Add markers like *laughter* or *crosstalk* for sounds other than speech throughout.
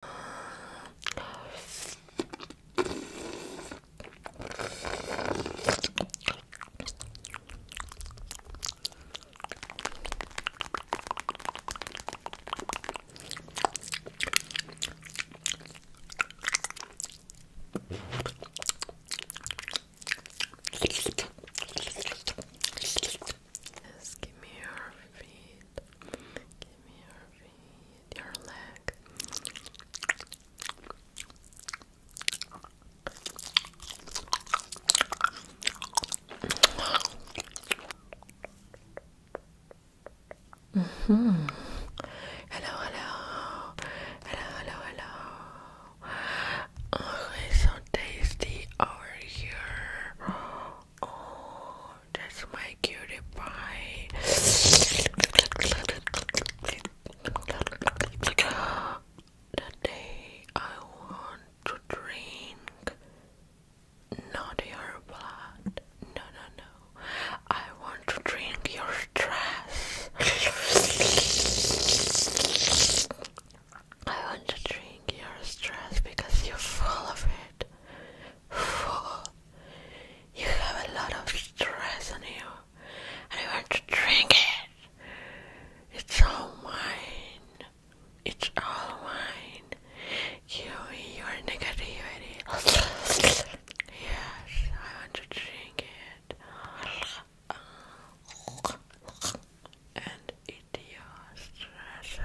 Just give me your feet. Give me your feet your leg. Mm -hmm. Hello, hello, hello, hello, hello. Oh, so tasty over here. Oh, that's my cutie pie. The day I want to drink not your blood. No, no, no. I want to drink your stress. I want to drink your stress because you're full of it. *sighs* You have a lot of stress on you, and you want to drink it. It's all mine. It's all mine. You, your negativity. yeah. I want to drink it. And it your stress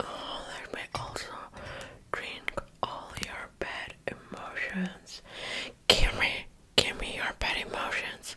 Oh, let me also drink all your bad emotions. Give me, give me your bad emotions.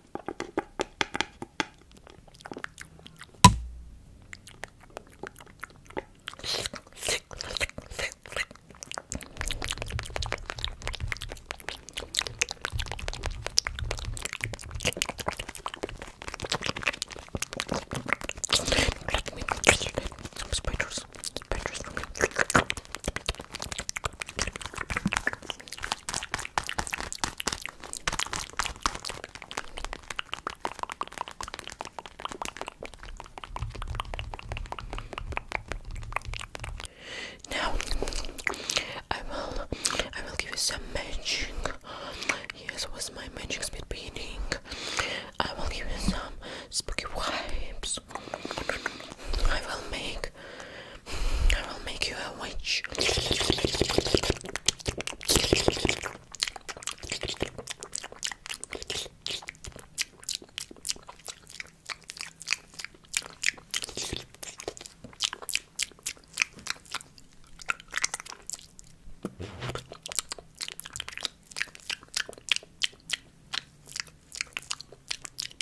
Let me, let me, spiders, spiders for me. Now I will I will give you some magic. Yes, was my magic speed beating. I will give you some spooky wipes. I will make I will make you a witch.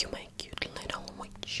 You my cute little witch.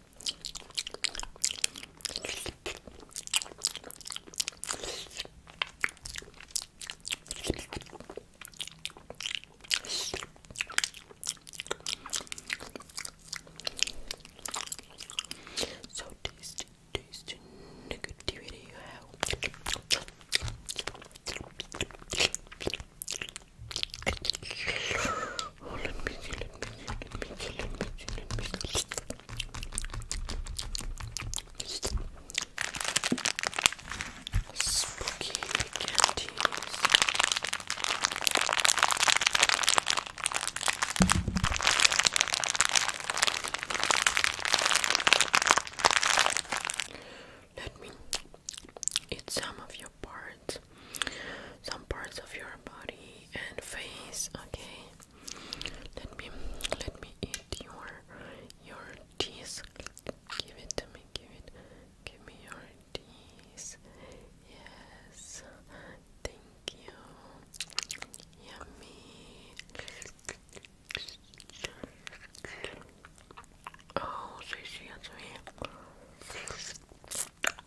So tasty, tasty negativity out. Oh, let me see, let me see, let me see, let me see, let me see. Spooky candies. Let me eat some of your parts some parts of your body and face. Okay, let me let me eat your your teeth. Give it to me. Give it. Give me your teeth. Yes. Thank you. Yummy. Oh, she, she has me.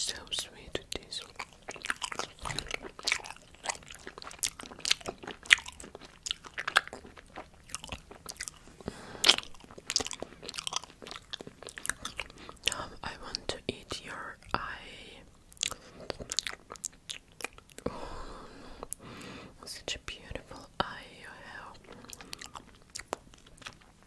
So sweet it is. I want to eat your eye. such a beautiful eye you have.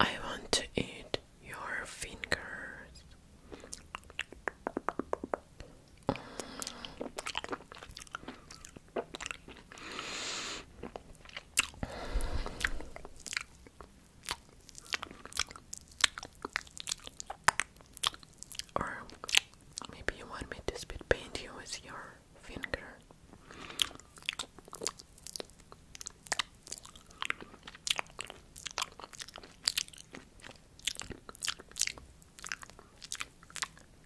I want to eat your fingers. Or maybe you want me to spit paint you with your finger.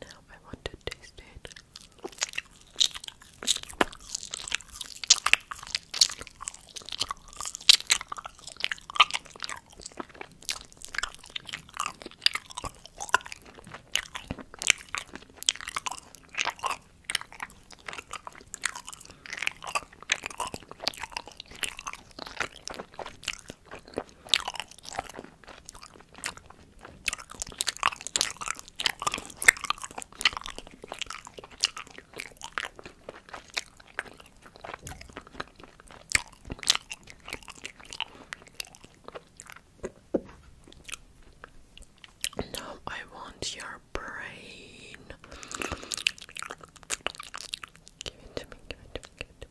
Now I want to taste it. Now I want your brain. Give it to me, give it to me, give it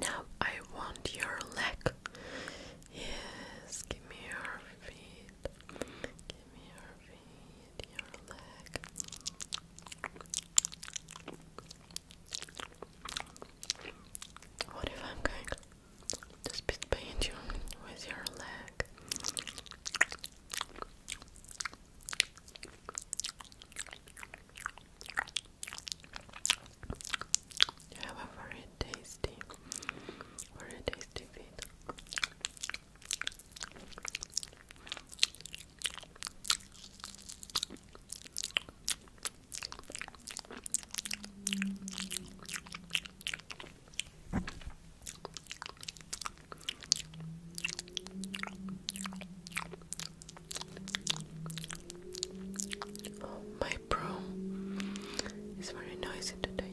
Now I want your leg. Yes, give me your feet. Give me your feet, your leg. What if I'm going just paint you with your leg. have a very tasty, very tasty feet. Oh, my bro is very noisy today.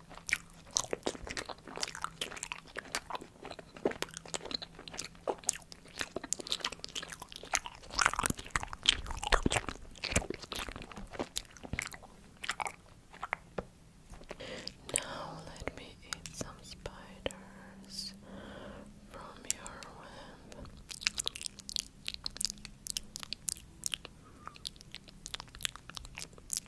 Now let me eat some spiders from your web.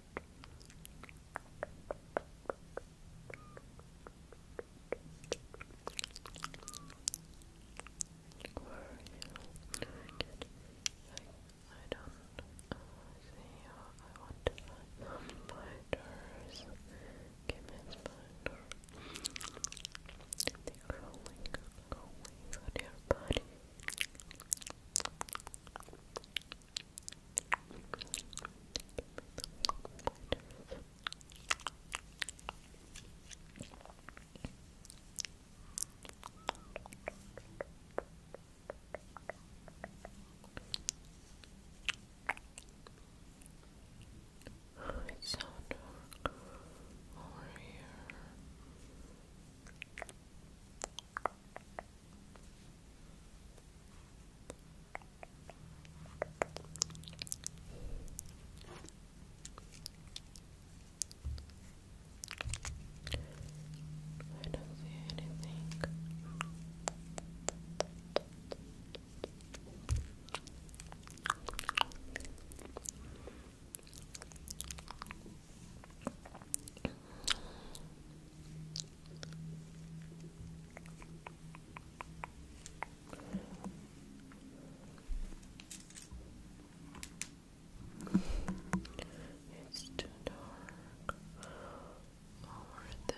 I don't see how I want to find some spiders. Give me a spider. They're on your body. It's so over here. I don't see anything. It's too dark over there.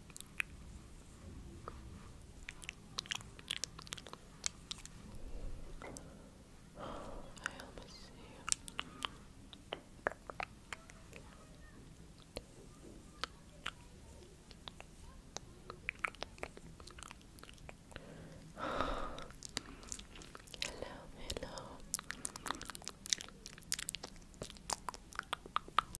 I almost see you. hello, hello.